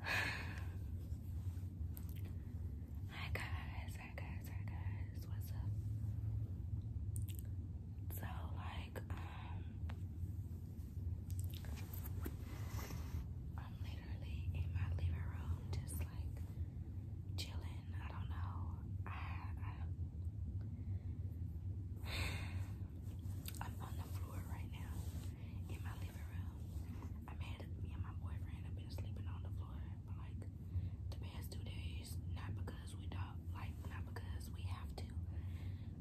Hi guys, hi guys, hi guys, what's up? So like um I'm literally in my living room just like chilling. I don't know. I, I am on the floor right now in my living room. I made me and my boyfriend have been sleeping on the floor for like the past two days. Not because we don't like, not because we have to,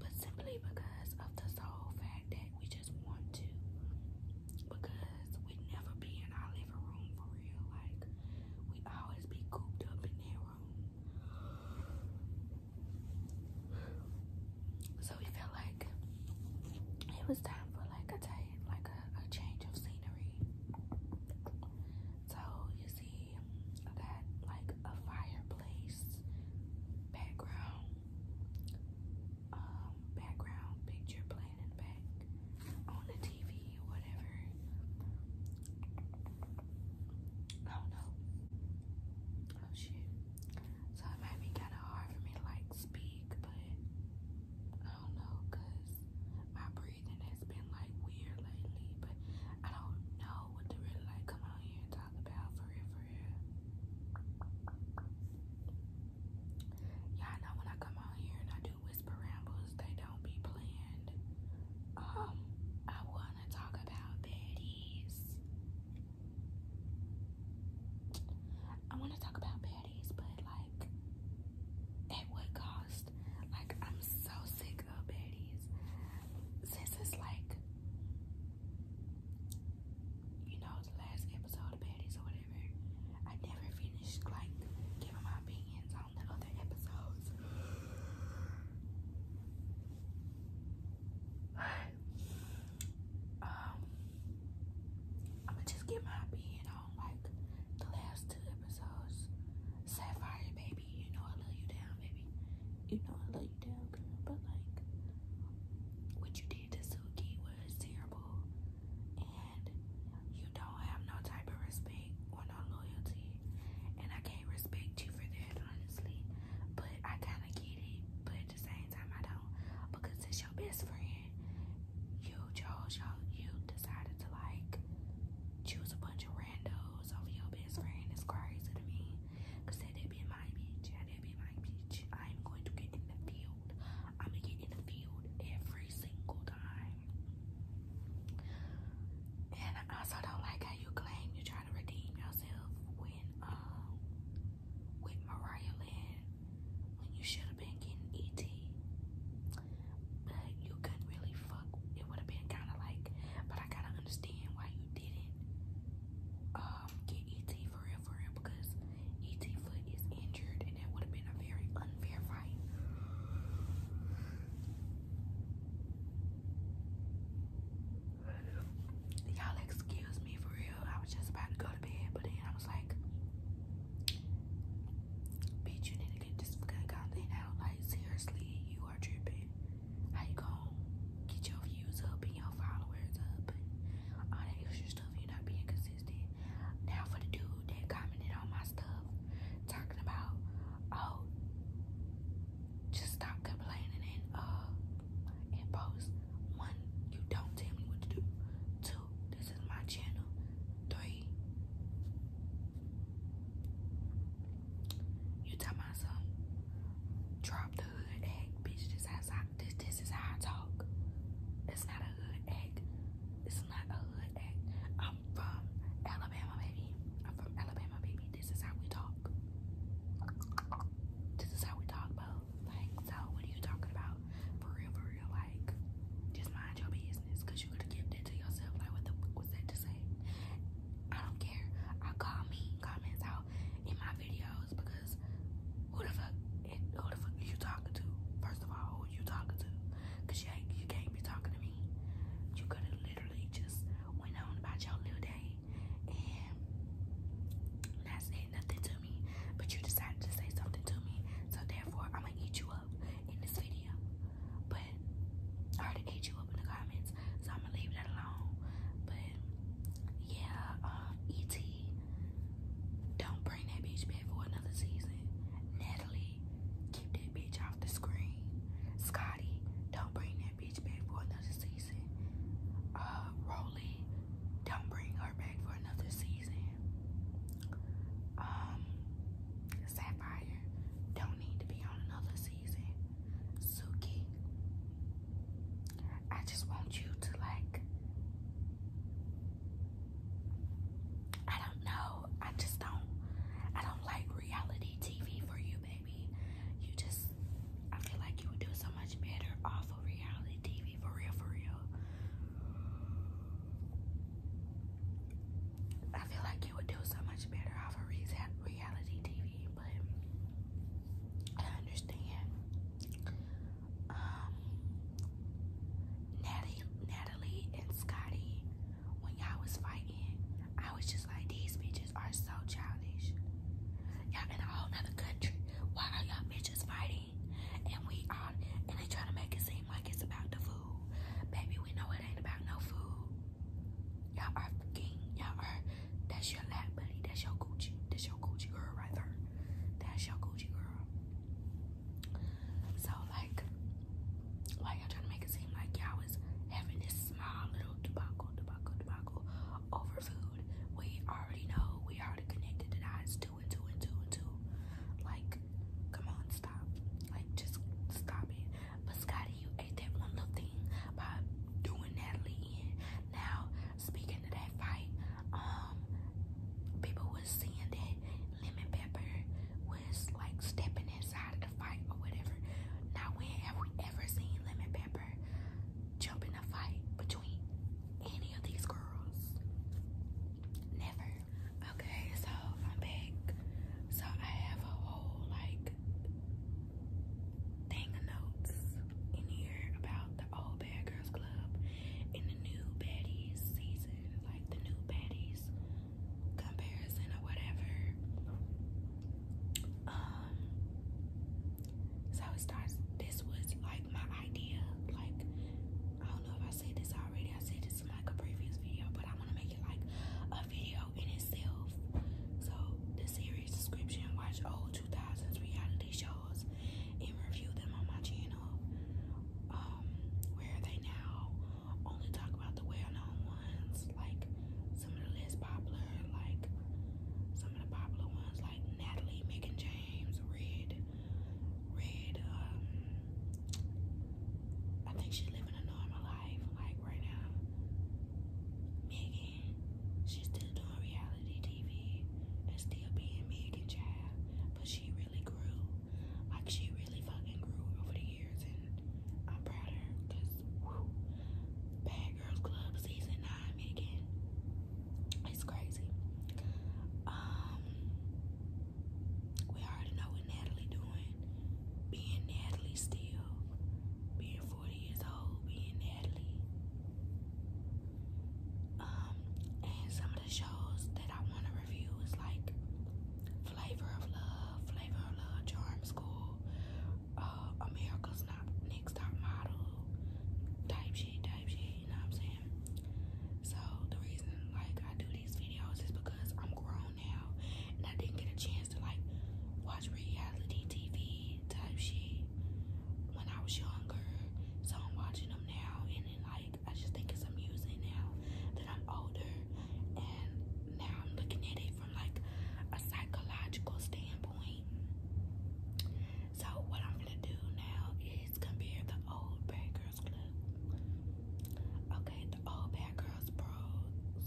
but simply because of the sole fact that we just want to. Because we never be in our living room for real. Like we always be cooped up in their room. So we felt like it was time for like a like a, change of scenery. So you see that like a fireplace background, um, background picture playing in the back on the TV or whatever. I don't know. Oh shit. So it might be kind of hard for me to like speak, but I don't know because my breathing has been like weird lately. But I don't know what to really like come on here and talk about for real, for real. Y'all know when I come on here and I do whisper rambles, they don't be planned. Um, I wanna talk about baddies. I want to talk about patties, but like it would cost? Like I'm so sick of patties. This is like you know the last episode of patties or whatever, I never finished like giving my opinions on the other episodes. Um, I'm gonna just get my opinion on like the last two episodes. Sapphire, baby, you know I let you down, baby. You know I let you down, girl. But like, what you did to Suki was terrible, and you don't have no type of respect or no loyalty. And I can't respect you for that, honestly. But I kind of get it. But at the same time I don't. Because it's your best friend. You chose your you decided to like choose a bunch of randos over your best friend. It's crazy to me. Cause that that'd be my bitch. That be my bitch. I'm going to get in the field. I'ma get in the field every single time. And I also don't like how you claim you are trying to redeem yourself uh, with Mariah Lynn when you should have been getting E.T. But you couldn't really fuck. It would have been kinda like but I gotta understand why you didn't um, get E.T. for real for real because E.T. foot is injured and that would have been a very unfair fight. Y'all excuse me for real. I was just about to go to bed, but then I was like, bitch, you need to get this fucking content out. Like, seriously, you are tripping. How you gonna get your views up and your followers up and all that extra stuff? You're not being consistent. Now for the dude that commented on my stuff, talking about, oh, just stop complaining and uh and post. One, you don't tell me what to do. Two, this is my channel. Three, you tell my son, drop the hood egg, bitch. This is how this this is how I talk. It's not a hood egg. It's not a hood egg. I'm from Alabama, baby. I'm from Alabama, baby. This is how we talk. This is how we talk, bro. Like, so what are you talking about? For real, for real, like, just mind your business, you going gonna give that to yourself. Like, what the was that to say? I don't care. I call me comments out in my videos because who the fuck, it, who the fuck are you talking to? First of all, who are you talking to? Cause you ain't, you can't be talking to me. You could have literally just went on about your new day and not saying nothing to me, but you decided to say something to me. So therefore, I'm gonna eat you up in this video. But I already ate you up in the comments, so I'm gonna leave that alone. But yeah, um, ET, don't bring that bitch back for another season. Natalie, keep that bitch off the screen. Scotty, don't bring that that bitch back for another season. Uh, Rolly, don't bring her back for another season. Um, Sapphire, don't need to be on another season. Suki, I just want you to like. I don't know. I just don't. I don't like reality TV for you baby. You just, I feel like you would do so much better off of reality TV, for real, for real. I feel like you would do so much better off of reality TV, but I understand. Um, Natalie, Natalie and Scotty, when y'all was fighting, I was just like, these bitches are so childish. Y'all in a whole nother country. Why are y'all bitches fighting? And we are, and they try to make it seem like it's about the food. Baby, we know it ain't about no food. Y'all are fucking, y'all are, that's your lap buddy, that's your Gucci, that's your Gucci girl right there. That's your Gucci girl. So like, why y'all trying to make it seem like y'all was having this small little debacle, debacle, debacle? over food. We already know. We already connected the dots two and two and two and two. Like, come on, stop. Like, just stop it. But Scotty, you ate that one little thing by doing that in. Now, speaking of that fight, um, people was seeing that Lemon Pepper was like stepping inside of the fight or whatever. Now, when have we ever seen Lemon Pepper? jump in a fight between any of these girls. Never. Okay, so I'm back. So I have a whole like thing of notes in here about the old Bad Girls Club and the new baddies season, like the new baddies comparison or whatever. Um, so it starts this was like my idea like I don't know if I said this already I said this in like a previous video but I want to make it like a video in itself so the series description watch old 2000s reality shows and review them on my channel um, where are they now only talk about the well-known ones, like some of the less popular, like some of the popular ones, like Natalie, Megan James, Red, Red. Um, I think she's living a normal life, like right now. Megan, she's still doing reality TV and still being Megan Child, but she really grew. Like she really fucking grew over the years and I'm proud of her because Bad Girls Club season nine again. It's crazy. Um we already know what Natalie doing. Being Natalie still. Being 40 years old, being Natalie. Um, and some of the shows that I want to review is like Flavor of Love, Flavor of Love, Charm School, uh, America's not next top model type shit, type shit, you know what I'm saying? So the reason like I do these videos is because I'm grown now and I didn't get a chance to like watch reality TV type shit when I was younger. So I'm watching them now and then like I just think it's amusing now that I'm older and now I'm looking at it from like a psychological standpoint. So what I'm gonna do now is compare the old Bad Girls Club. Okay, the old Bad Girls Bros.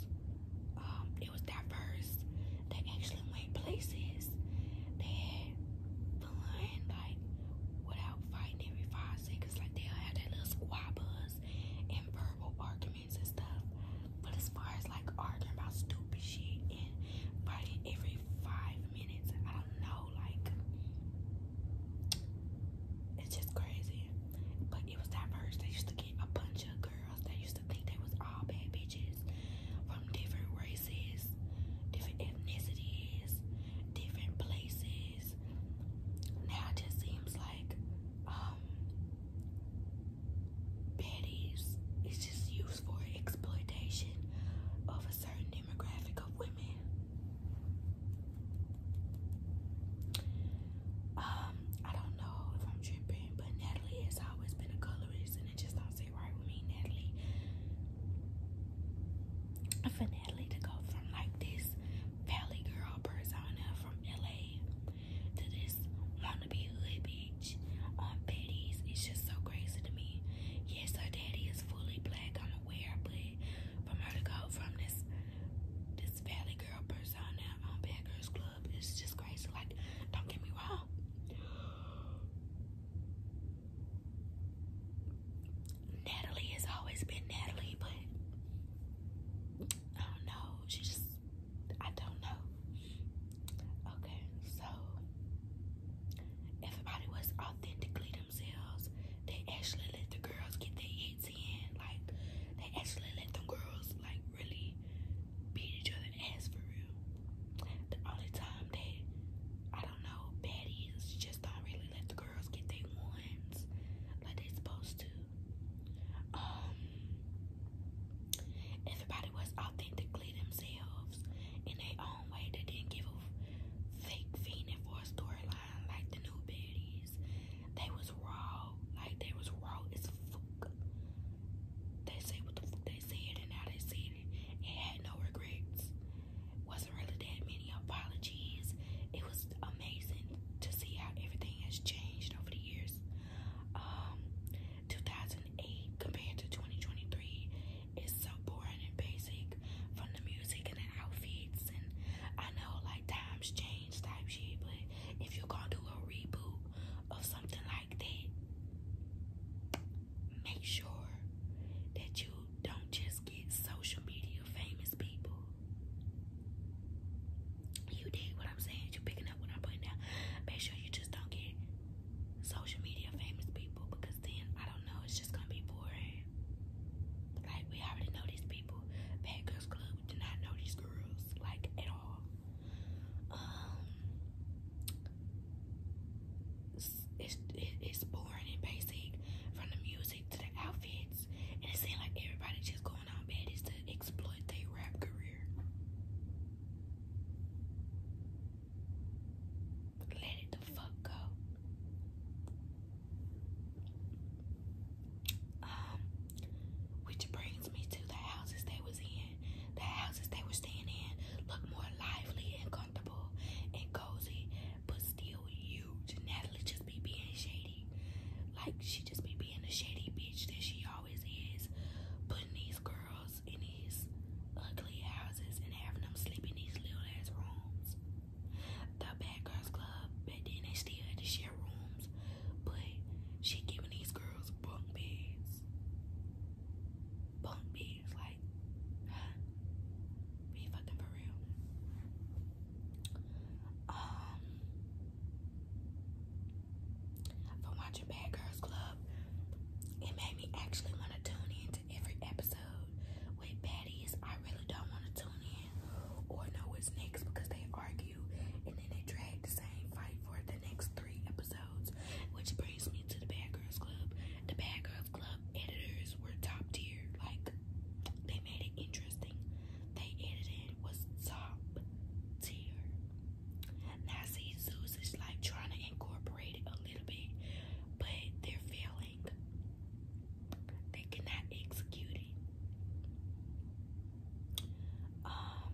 Um, it was diverse. They actually went places. They had fun, like without fighting every five seconds. Like they all have their little squabbles and verbal arguments and stuff. But as far as like arguing about stupid shit and fighting every five minutes, I don't know, like it's just crazy. But it was that they used to get a bunch of girls that used to think they was all bad bitches from different races, different ethnicities, different places. Now it just seems like um, Petties is just used for exploitation of a certain demographic of women. Um, I don't know if I'm tripping, but Natalie has always been a colorist, and it just don't sit right with me, Natalie. For Natalie to go from like this Valley Girl persona from LA to this wannabe hood bitch on Betty's. It's just so crazy to me. Yes, her daddy is fully black, I'm aware, but from her to go from this this valley girl persona on Bad Girls Club it's just crazy. Like, don't get me wrong. Natalie has always been Natalie, but I don't know. She just I don't know. Okay, so everybody was authentically themselves. They actually let the girls get their hits in. Like they actually let the girls like really beat each other ass for real. The only time they I don't know baddies just don't really let the girls get their ones like they supposed to. Um, everybody was authentically themselves in their own way. They didn't give a fake feeling for a storyline like the new baddies. They was raw, like they was raw as fuck. They say what the fuck they said and now they said it, and had no regrets. Wasn't really that many apologies. It was amazing to see how everything has changed over the years. 2008 um, compared to 2023 is so boring and basic from the music and the outfits. And I know like times change type shit, but if you're gonna do a reboot of something like that, make sure that you don't just get social media famous people. You dig what I'm saying? you picking up what I'm putting down. Make sure you just don't get social media famous people because then I don't know, it's just gonna be boring. Like we already know these people. Bad Girls Club did not know these girls like at all. Um, it's it's boring and basic from the music to the outfits, and it seems like everybody just going going on bad is to exploit their rap career. Let it the fuck go. Um, which brings me to the houses they was in. The houses they were staying in look more lively and comfortable and cozy, but still huge. Natalie just just be being shady. Like she just be being a shady bitch that she always is, putting these girls in these ugly houses and having them sleep in these little ass rooms. The Bad Girls Club, back then they still had to share rooms, but she giving these girls bunk beds. Bunk beds, like, Be fucking for real. Um, for watching Bad Girls Club, it made me actually want to tune in to every episode. With baddies, I really don't want to tune in or know what's next because they argue and then they drag the same fight for the next three episodes. Which brings me to the Bad Girls Club. The Bad Girls Club editors were top tier, like, they made it interesting they edited was top tier. Now see Zeus is like trying to incorporate it a little bit, but they're failing. They cannot execute it. Um,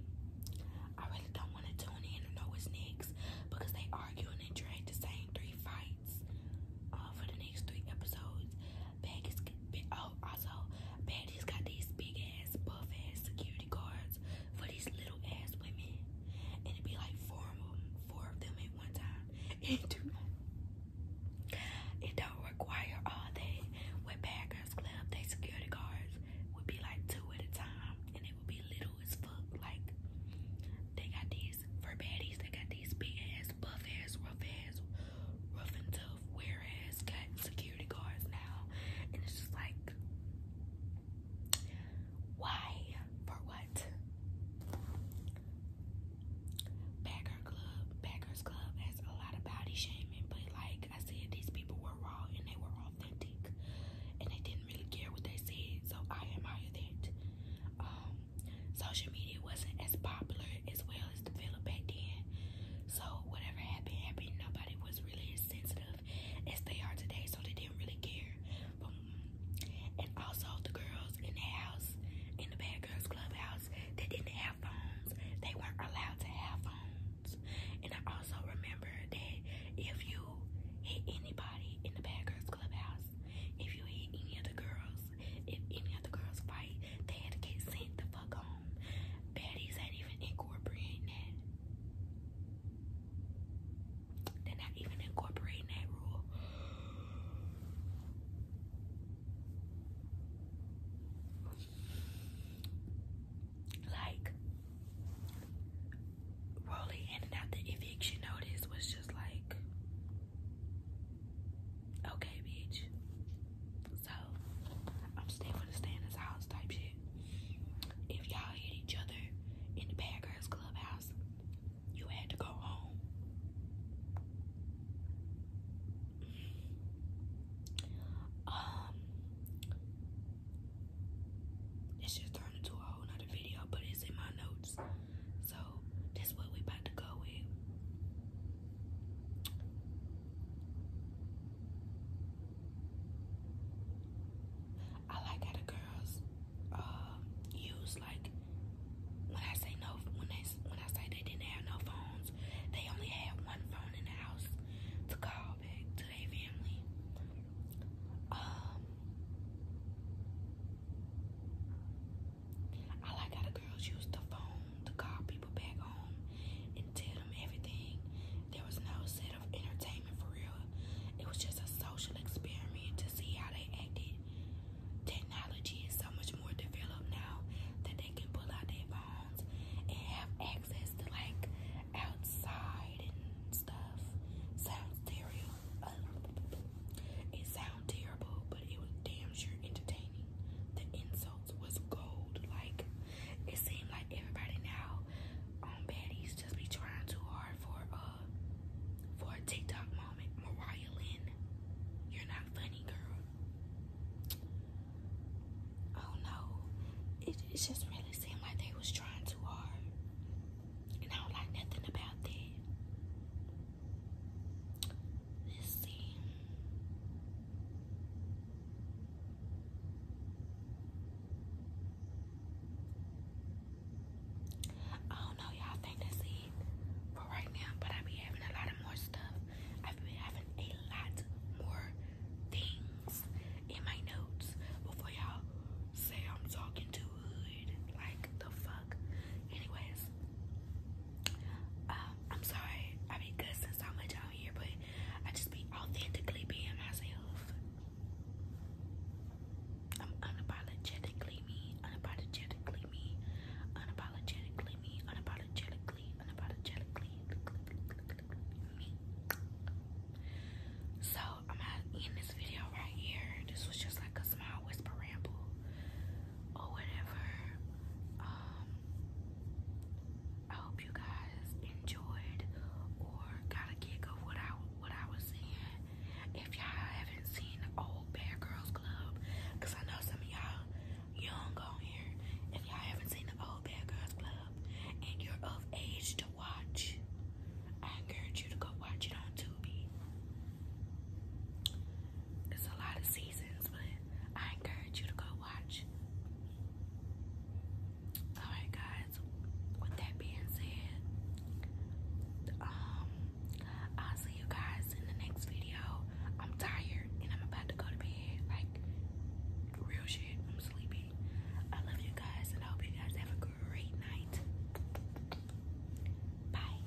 I really don't want to tune in and know what's next because they argue and they drag the same three fights uh, for the next three episodes. Baddies, oh, also, Baggies got these big ass, buff ass security guards for these little ass women. And it'd be like four of them, four of them at one time. It do not, it require all day. With Bad Club, they security guards would be like two at a time. And it would be little as fuck. Like, they got these, for baddies, they got these big ass, buff ass, rough ass, rough and tough, whereas got security guards now, and it's just like, why? For what? Bagger Club, Baggers Club has a lot of body shaming, but like I said, these people were raw and they were authentic, and they didn't really care what they said, so I admire that. Um, social media wasn't as popular as well as developed back then. So whatever happened happened. Nobody was really as sensitive as they are today, so they didn't really care. But, and also the girls in the house, in the bad girls clubhouse, they didn't have phones. They weren't allowed to have phones. And I also remember that if you hit anybody in the bad girls clubhouse, if you hit any of the girls, if any of the girls fight, they had to get sent the fuck home. Baddies ain't even incorporating that. They're not even incorporating that rule. Like, Rolly handed out the eviction notice was just like, Okay, bitch. So, I'm staying with a stay house type shit. If y'all hit each other in the Bad Girls Clubhouse, you had to go home. Um, it's just turned into a whole nother video, but it's in my notes. So, that's what we about to go with. I like how the girls uh, use like when I say no when they when I say they didn't have no phones, they only had one phone in the house to call back to their family. Um I like how the girls used the phone to call people back home and tell them everything. There was no set of entertainment for real. It was just a social experiment to see how they acted. Technology is so much more developed now that they can pull out their phones and have access to like outside and stuff. Sounds terrible. Uh, it sounds terrible, but it was damn sure entertaining the insults was gold. Like it seemed like everybody now on baddies just be trying too hard for a uh, for a TikTok moment. Mariah Lynn, you're not funny, girl. Oh no, it, it just really seemed like they was trying too hard, and I don't like nothing about that. Let's see. I don't know, y'all think that's it for right now, but I be having a lot of more stuff. I've been having a lot more things in my notes before y'all say I'm talking too good. Like the fuck. Anyways, uh, I'm sorry, I've been good since how much out here, but I just be authentically being myself. I'm unapologetically me, unapologetically me, unapologetically me, unapologetically, unapologetically me. So I'm going this video right here. This was just like a small whisper ramble or whatever. Um, I hope you guys enjoyed or got a kick of what I what I was saying. If y'all haven't seen the old Bad Girls Club, because I know some of y'all young on here. If y'all haven't seen the old Bad Girls Club and you're of age to watch, I encourage you to go watch it on Tubi. It's a lot of seasons, but I encourage you to go watch. Alright, guys, with that being said, um, I'll see you guys in the next video. I'm tired and I'm about to go to bed. Like, real shit, I'm sleepy. I love you guys and hope you guys have a great night. Bye.